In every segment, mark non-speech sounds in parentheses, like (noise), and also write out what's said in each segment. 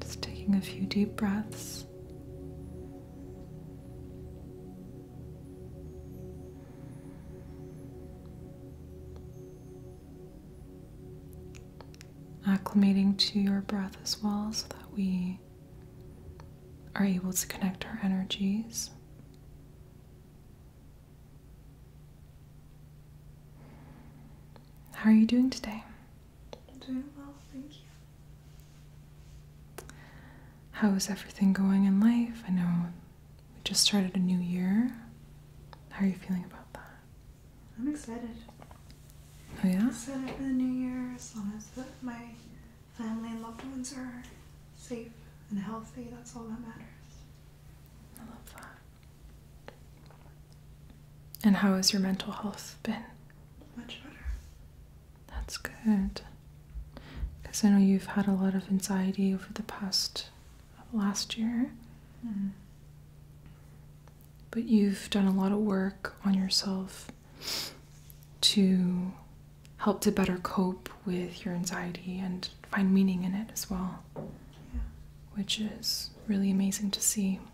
Just taking a few deep breaths. Acclimating to your breath as well so that we are able to connect our energies. How are you doing today? I'm doing well, thank you. How is everything going in life? I know we just started a new year. How are you feeling about that? I'm excited. Oh yeah? I'm excited for the new year as long as my family and loved ones are safe and healthy. That's all that matters. I love that. And how has your mental health been? Much better. That's good. Because I know you've had a lot of anxiety over the past last year. Mm-hmm. But you've done a lot of work on yourself to help to better cope with your anxiety and find meaning in it as well, which is really amazing to see.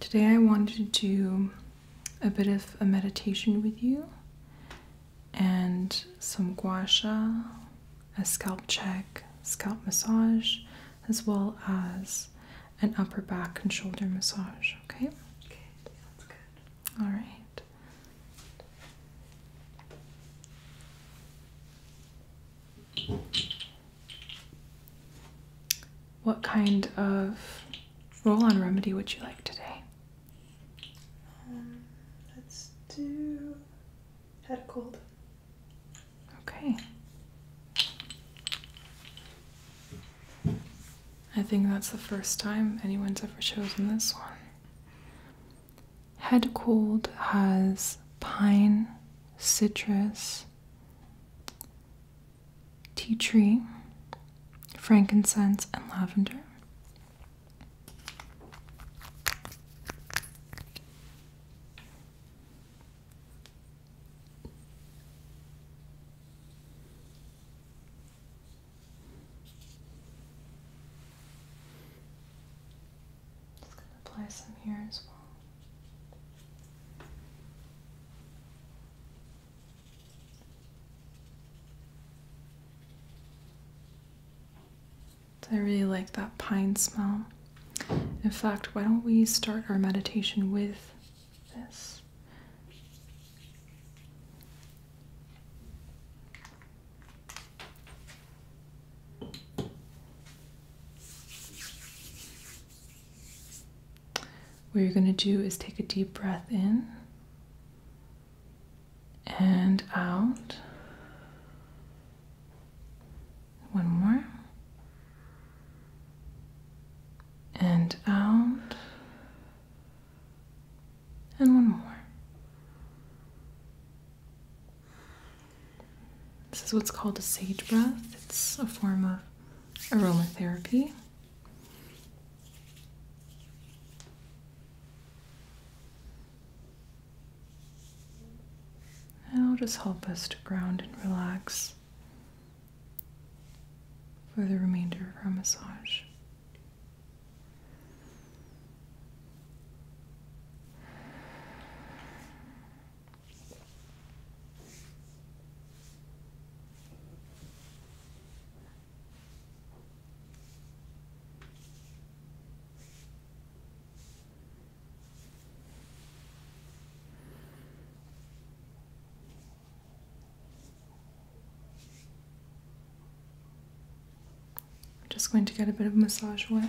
Today I wanted to do a bit of a meditation with you and some gua sha, a scalp check, scalp massage, as well as an upper back and shoulder massage, okay? Okay, sounds good. All right. What kind of roll on remedy would you like today? Um, let's do head cold. Okay. I think that's the first time anyone's ever chosen this one. Head cold has pine, citrus, tea tree, frankincense, and lavender apply some here as well. I really like that pine smell. In fact, why don't we start our meditation with this? What you're going to do is take a deep breath in and out. One more. And out. And one more. This is what's called a sage breath. It's a form of aromatherapy. It'll just help us to ground and relax for the remainder of our massage. I'm just going to get a bit of massage away.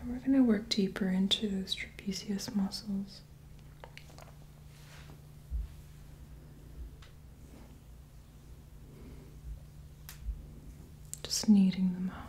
And we're going to work deeper into those trapezius muscles. Just kneading them out.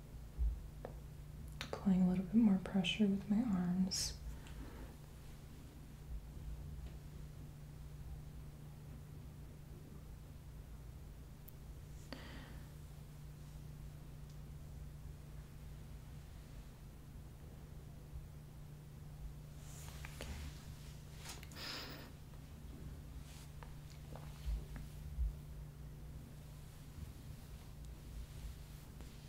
Applying a little bit more pressure with my arms.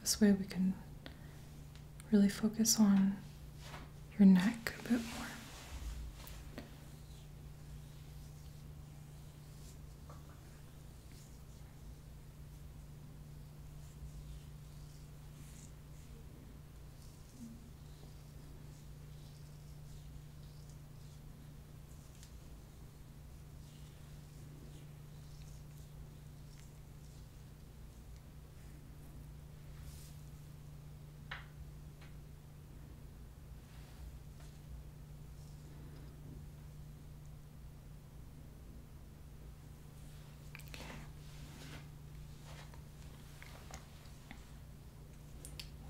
This way we can really focus on your neck a bit more.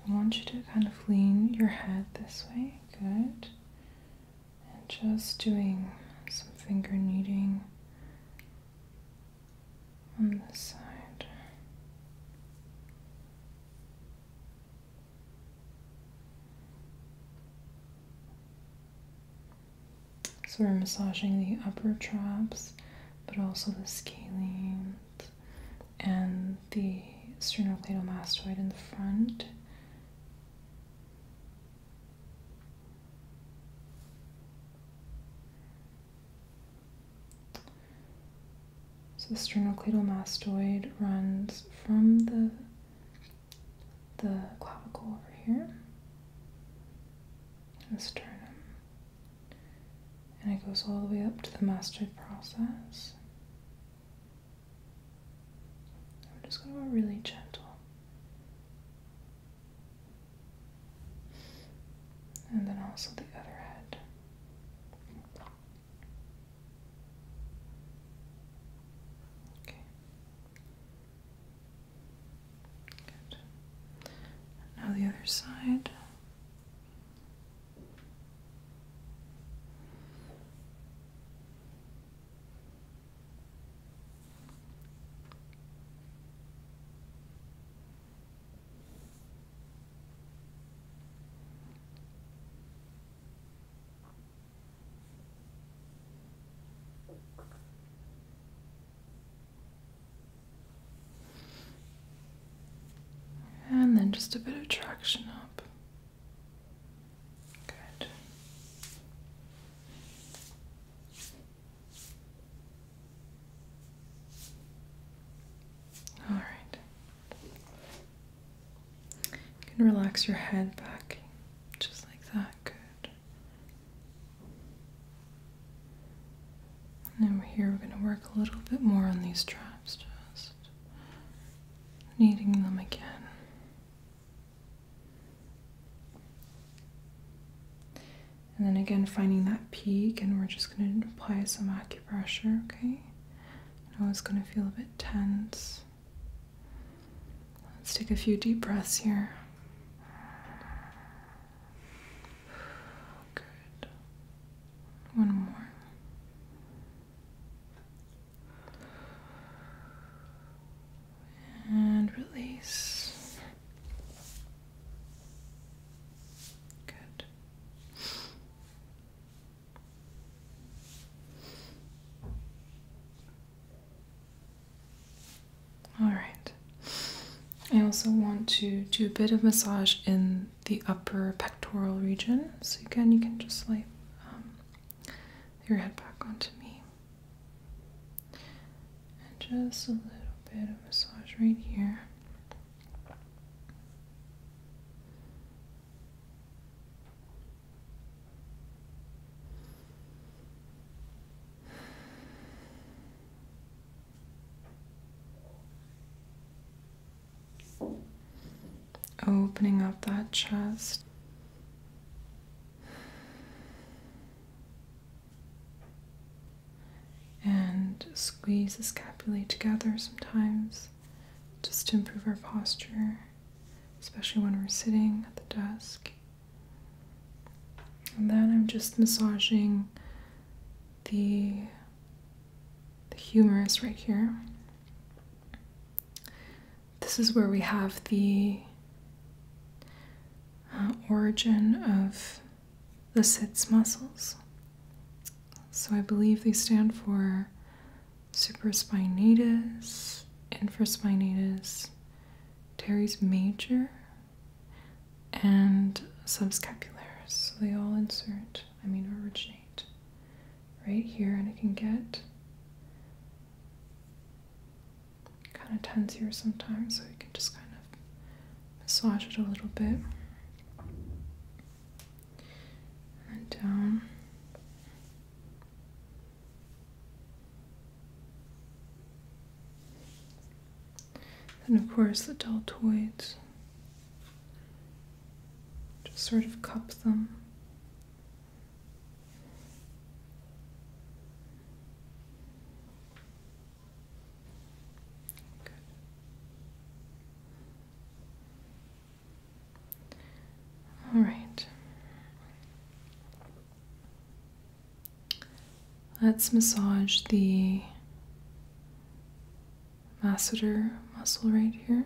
I want you to kind of lean your head this way. Good and just doing some finger kneading on this side. So we're massaging the upper traps, but also the scalene and the sternocleidomastoid in the front. So the sternocleidomastoid runs from the the clavicle over here, the sternum, and it goes all the way up to the mastoid process. We're just going to go really gentle and then also the other head. Okay. Good. Now the other side. And then just a bit of traction up. Good. All right. You can relax your head back just like that. Good. And over here, we're going to work a little bit more on these traps, just kneading them again. And then again, finding that peak, and we're just going to apply some acupressure, okay? I know it's going to feel a bit tense. Let's take a few deep breaths here. Good. One more and release. Good. All right. I also want to do a bit of massage in the upper pectoral region. So again, you can just lay um, your head back onto me. And just a little bit of massage right here. Opening up that chest and squeeze the scapulae together sometimes just to improve our posture, especially when we're sitting at the desk. And then I'm just massaging the, the humerus right here. This is where we have the uh, origin of the sits muscles. So I believe they stand for supraspinatus, infraspinatus, teres major, and subscapularis. So they all insert, I mean originate right here and it can get kind of tense here sometimes, so you can just kind of massage it a little bit. And down. Um, and of course, the deltoids. Just sort of cup them. All right. Let's massage the masseter muscle right here.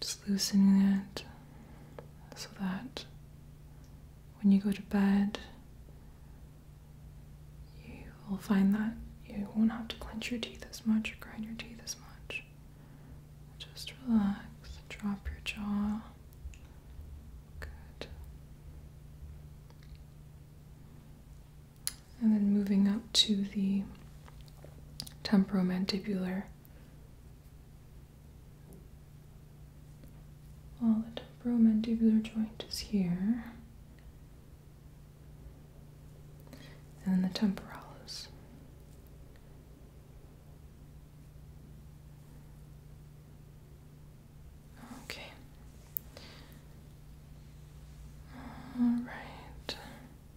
Just loosening it so that when you go to bed, you will find that you won't have to clench your teeth as much or grind your teeth as much. Just relax, drop your jaw. Good. And then moving up to the temporomandibular while the temporal mandibular joint is here, and the temporalis. Okay. All right.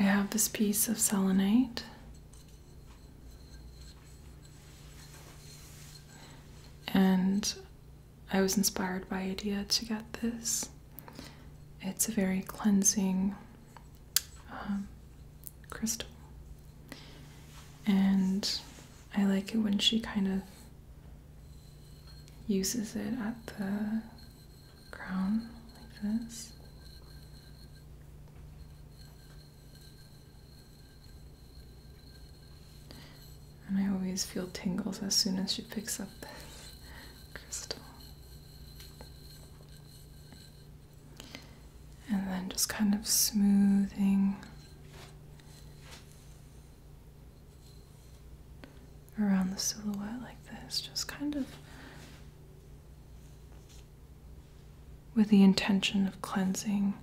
I have this piece of selenite. And I was inspired by Idea to get this. It's a very cleansing um, crystal. And I like it when she kind of uses it at the crown like this. And I always feel tingles as soon as she picks up this crystal. And then just kind of smoothing around the silhouette like this, just kind of with the intention of cleansing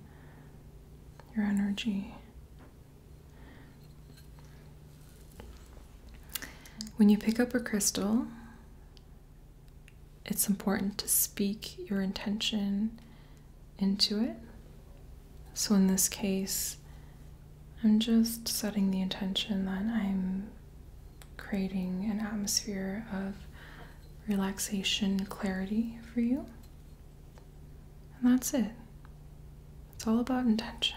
your energy. When you pick up a crystal, it's important to speak your intention into it. So, in this case, I'm just setting the intention that I'm creating an atmosphere of relaxation, clarity for you. And that's it. It's all about intention.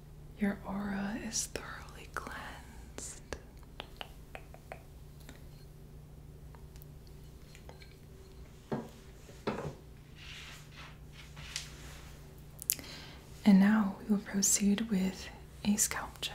Your aura is thoroughly cleansed. And now we will proceed with a scalp check.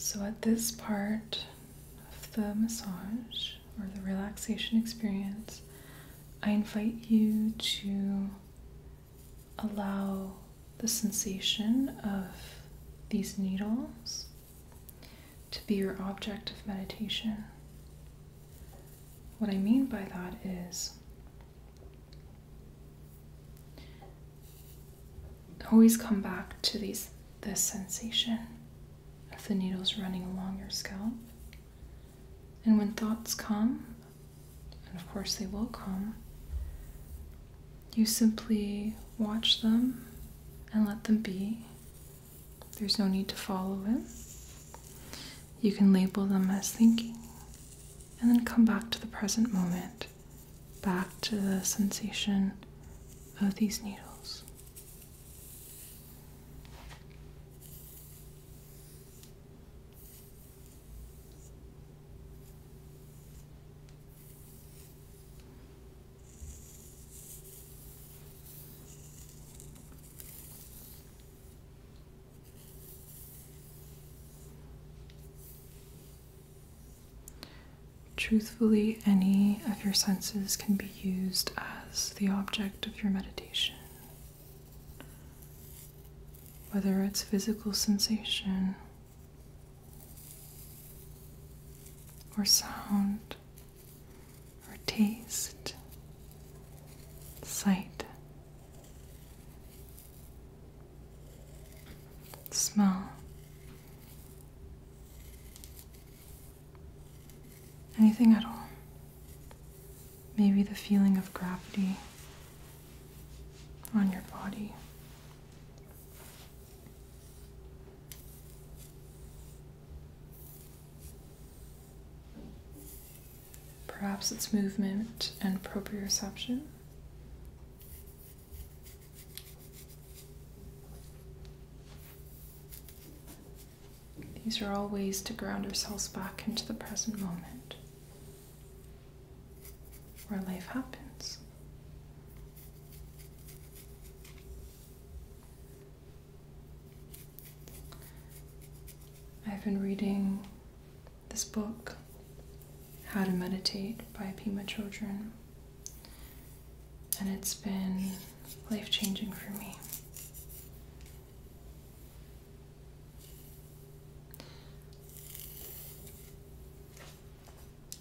So, at this part of the massage or the relaxation experience, I invite you to allow the sensation of these needles to be your object of meditation. What I mean by that is always come back to these this sensation of the needles running along your scalp. And when thoughts come, and of course they will come, you simply watch them and let them be. There's no need to follow it. You can label them as thinking and then come back to the present moment, back to the sensation of these needles. Truthfully, any of your senses can be used as the object of your meditation. Whether it's physical sensation or sound or taste, sight, smell. Anything at all. Maybe the feeling of gravity on your body. Perhaps it's movement and proprioception. These are all ways to ground ourselves back into the present moment where life happens. I've been reading this book, How to Meditate by Pema Children, and it's been life changing for me.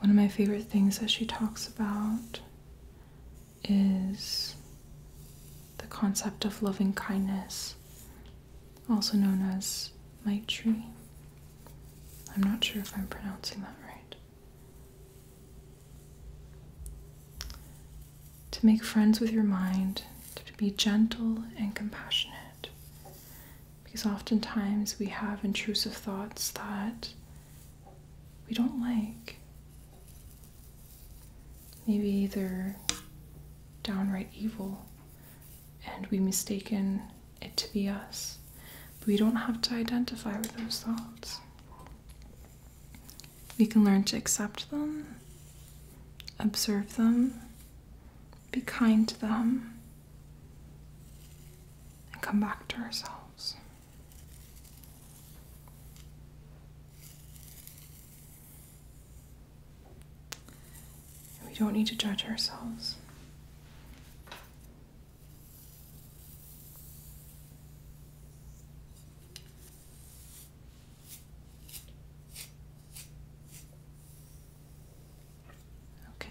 One of my favorite things that she talks about is the concept of loving kindness, also known as Maitri. I'm not sure if I'm pronouncing that right. To make friends with your mind, to be gentle and compassionate. Because oftentimes we have intrusive thoughts that we don't like. Maybe they're downright evil and we mistaken it to be us. we don't have to identify with those thoughts. We can learn to accept them, observe them, be kind to them, and come back to ourselves. We don't need to judge ourselves. Okay,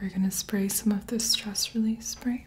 We're going to spray some of this stress relief spray.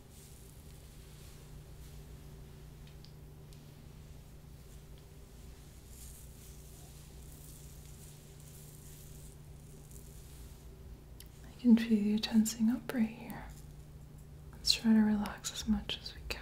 I can feel you tensing up right here. Let's try to relax as much as we can.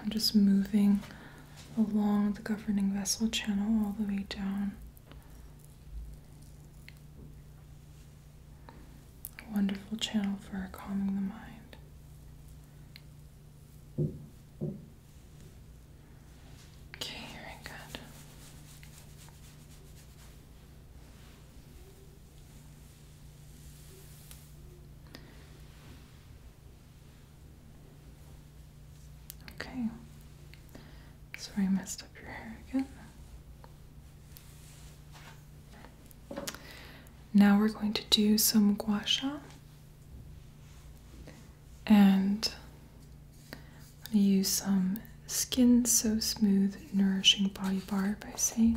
I'm just moving along the governing vessel channel all the way down. A wonderful channel for calming the mind. Okay, very good. Okay. Sorry I messed up your hair again. Now we're going to do some gua sha. And I'm going to use some Skin So Smooth Nourishing Body Bar by Sage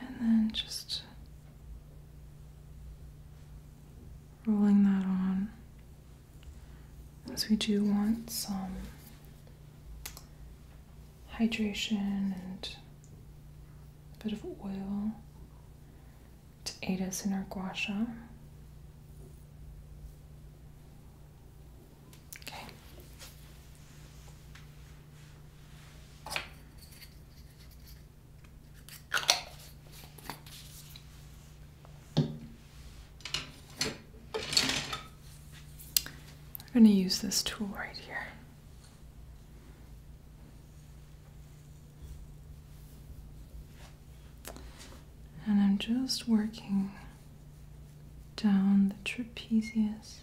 and then just rolling that on as we do want some hydration and a bit of oil to aid us in our gua Okay. I'm going to use this tool right here. And I'm just working down the trapezius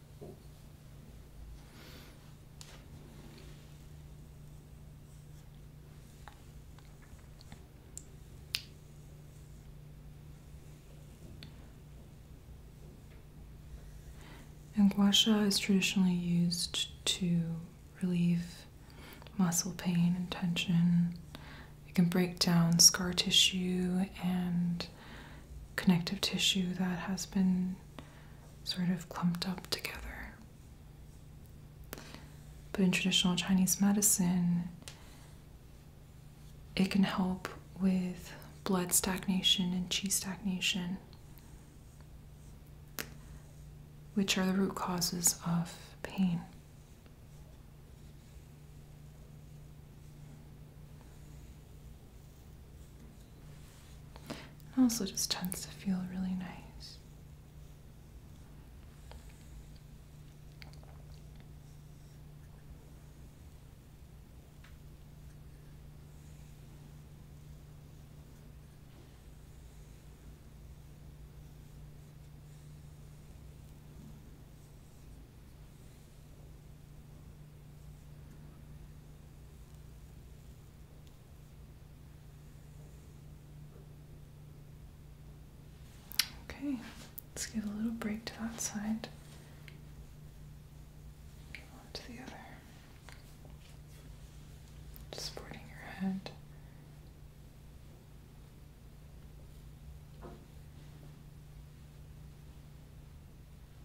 And gua is traditionally used to relieve muscle pain and tension. It can break down scar tissue and connective tissue that has been sort of clumped up together. But in traditional Chinese medicine, it can help with blood stagnation and qi stagnation, which are the root causes of pain. It also just tends to feel really nice. Okay, let's give a little break to that side. to the other. supporting your head.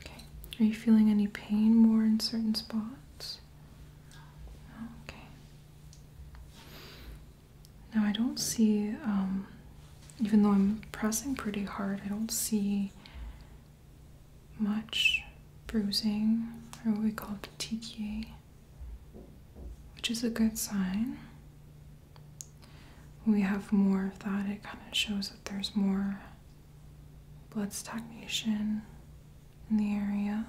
Okay, are you feeling any pain more in certain spots? Okay. Now I don't see, um, even though I'm pressing pretty hard, I don't see much bruising, or what we call petechiae, which is a good sign. When we have more of that, it kind of shows that there's more blood stagnation in the area.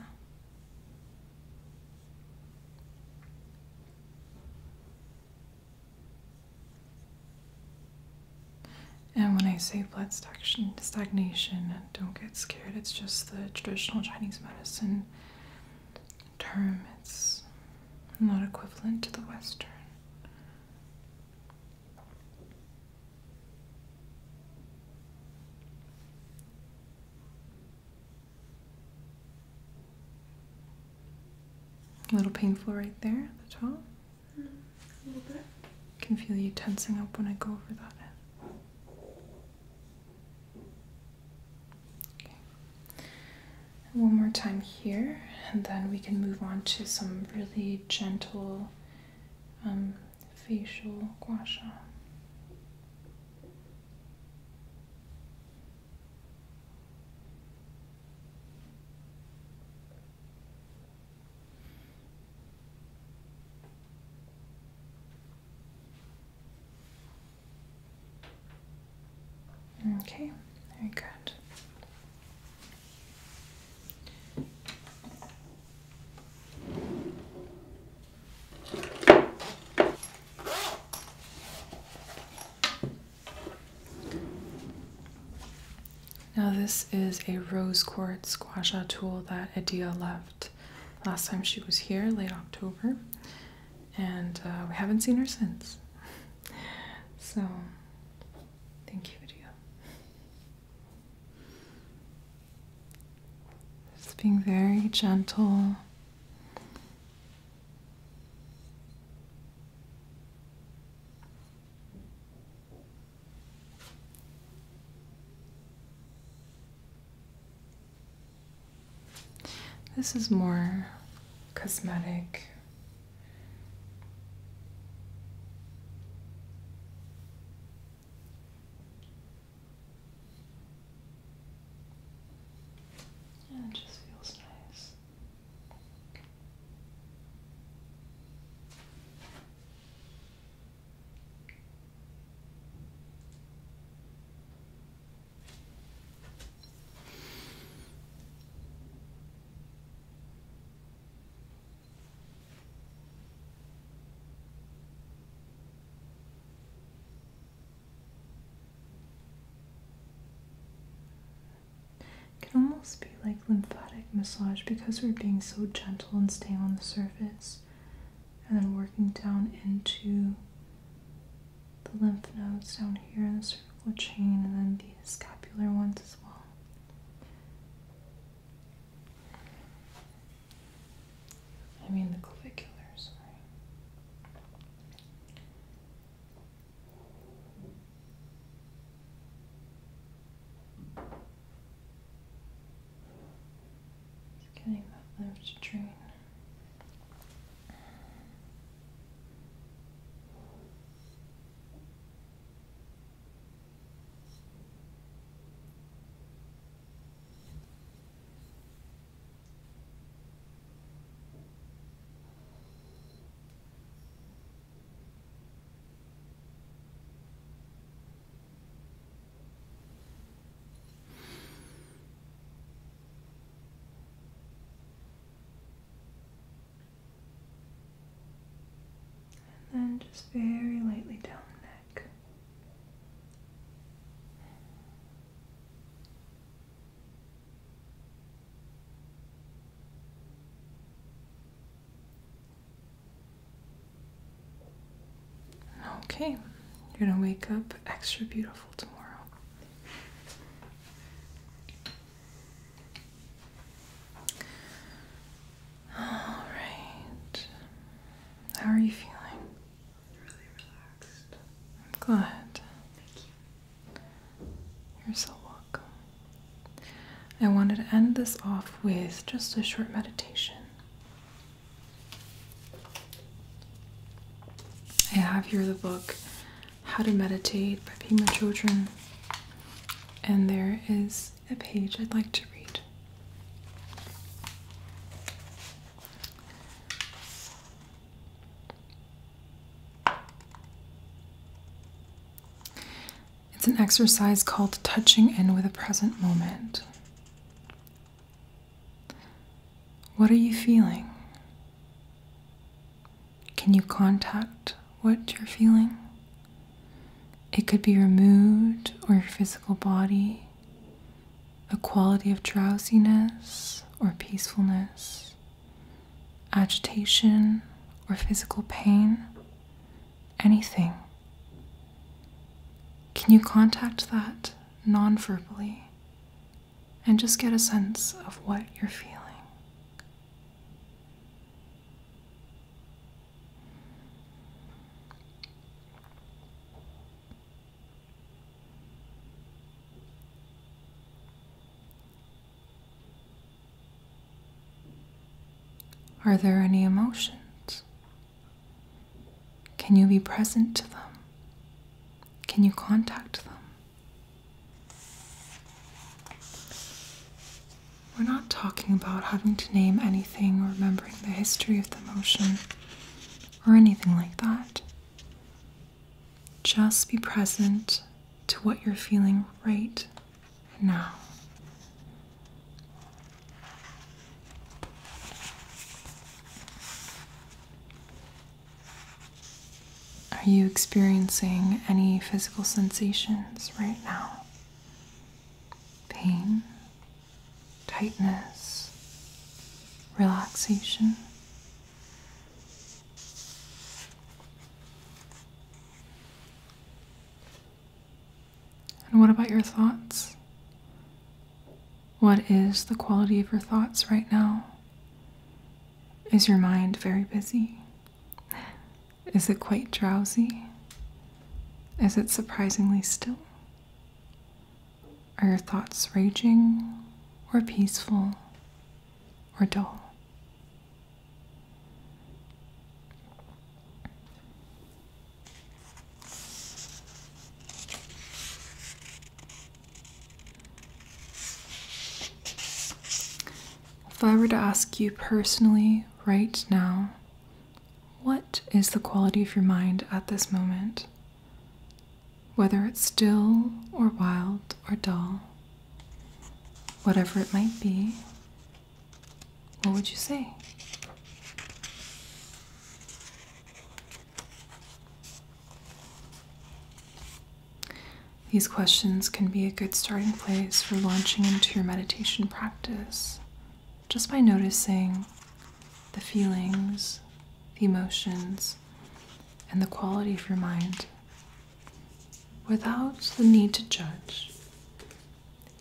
And when I say blood stagnation, don't get scared. It's just the traditional Chinese medicine term. It's not equivalent to the Western. A little painful right there at the top. a little bit. can feel you tensing up when I go over that. Okay. One more time here, and then we can move on to some really gentle um, facial gua sha. Okay, very good. Now this is a rose quartz gua tool that Adia left last time she was here, late October, and uh, we haven't seen her since. (laughs) So, thank you, Adia. Just being very gentle. This is more cosmetic it just feels nice can almost be like lymphatic massage because we're being so gentle and staying on the surface and then working down into the lymph nodes down here in the cervical chain and then the scapular ones as well. I mean the claviculars. sorry. It's getting that left and then just very lightly down there. Okay, you're gonna wake up extra beautiful tomorrow. All right, how are you feeling? I'm glad. Thank you. You're so welcome. I wanted to end this off with just a short meditation. I have here the book How to Meditate by Pema Chodron, and there is a page I'd like to read. It's an exercise called touching in with a present moment. What are you feeling? Can you contact what you're feeling? It could be your mood or your physical body a quality of drowsiness or peacefulness, agitation or physical pain, anything. Can you contact that non verbally and just get a sense of what you're feeling? Are there any emotions? Can you be present to them? Can you contact them? We're not talking about having to name anything or remembering the history of the emotion or anything like that. Just be present to what you're feeling right now. Are you experiencing any physical sensations right now? Pain, tightness, relaxation. And what about your thoughts? What is the quality of your thoughts right now? Is your mind very busy? Is it quite drowsy? Is it surprisingly still? Are your thoughts raging or peaceful or dull? If I were to ask you personally right now, what is the quality of your mind at this moment? Whether it's still or wild or dull, whatever it might be, what would you say? These questions can be a good starting place for launching into your meditation practice just by noticing the feelings, the emotions, and the quality of your mind without the need to judge.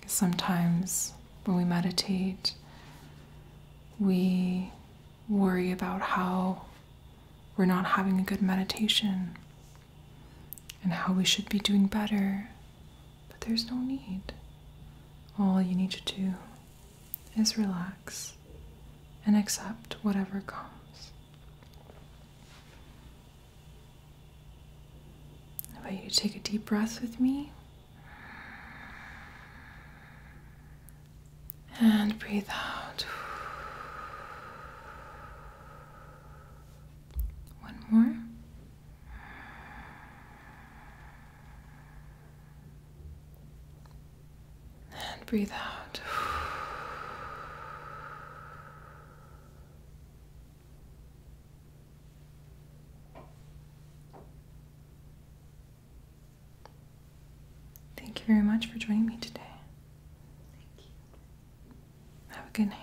sometimes when we meditate, we worry about how we're not having a good meditation and how we should be doing better. But there's no need. All you need to do is relax and accept whatever comes. How about you take a deep breath with me? And breathe out. One more. And breathe out. Thank you very much for joining me today. Have a good night.